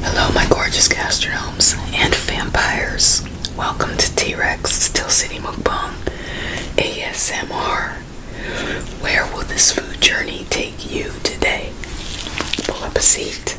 Hello, my gorgeous gastronomes and vampires. Welcome to T Rex Still City Mukbang ASMR. Where will this food journey take you today? Pull up a seat.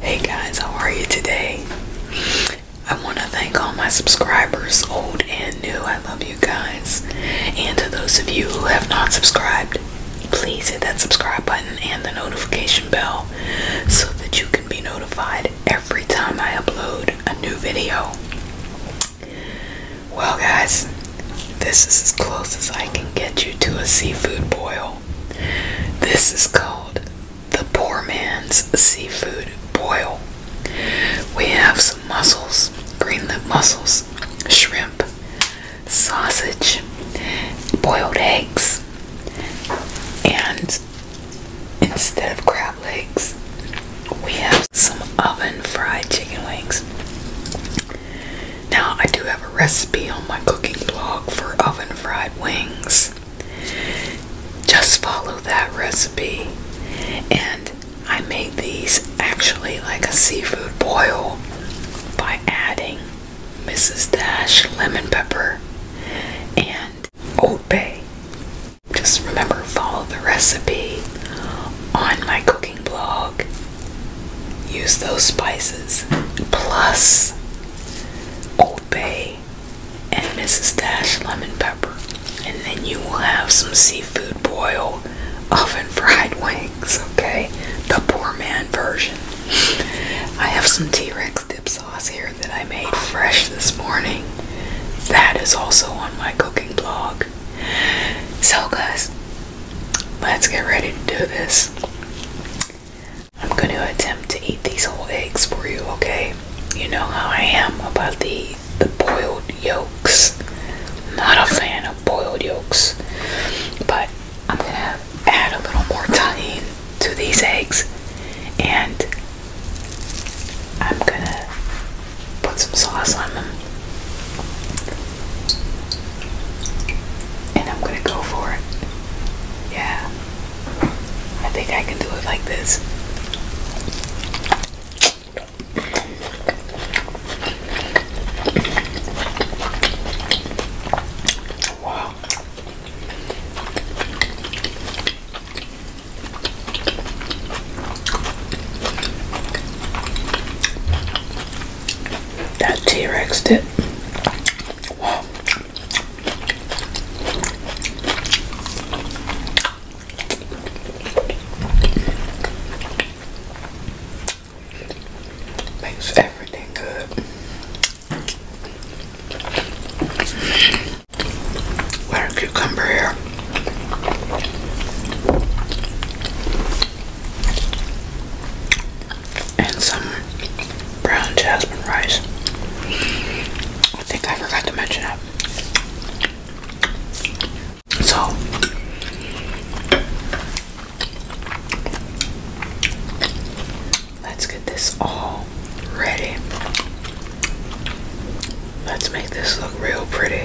Hey guys, how are you today? I want to thank all my subscribers, old and new. I love you guys. And to those of you who have not subscribed, please hit that subscribe button and the notification bell so that you can be notified every time I upload a new video. Well, guys, this is as close as I can get you to a seafood boil. This is called the poor man's seafood boil. We have some mussels, green lip mussels, shrimp, sausage, boiled eggs, and instead of crab legs, we have some oven fried chicken wings. Now, I do have a recipe on my cooking blog for oven fried wings. Just follow that recipe. And I made these actually like a seafood boil by adding Mrs. Dash lemon pepper and Old Bay. Just remember, follow the recipe on my cooking blog use those spices plus Old Bay and Mrs. Dash lemon pepper, and then you will have some seafood boil oven fried wings. Okay, the poor man version. I have some T Rex dip sauce here that I made fresh this morning. That is also on my cooking blog. So, guys, Let's get ready to do this. I'm going to attempt to eat these whole eggs for you, okay? You know how I am about the the boiled yolks. Not a fan of boiled yolks. But I'm going to add a little more tahini to these eggs and I'm going to put some sauce on them. And I'm gonna go for it. Yeah. I think I can do it like this. Wow. That T-Rex did. Makes everything good. What cucumber here and some brown jasmine rice. I think I forgot to mention it. So, let's get this all ready. Let's make this look real pretty.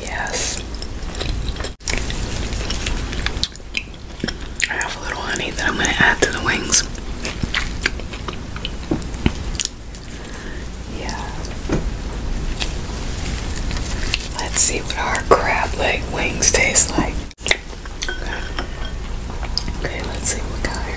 Yes. I have a little honey that I'm going to add to the wings. Yeah. Let's see what our crab leg wings taste like. Okay, let's see what got here.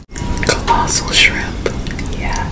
Colossal shrimp. Yeah.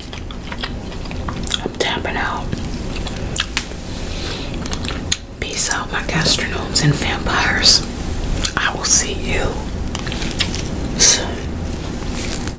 I'm tapping out. Peace out, my gastronomes and vampires. I will see you soon.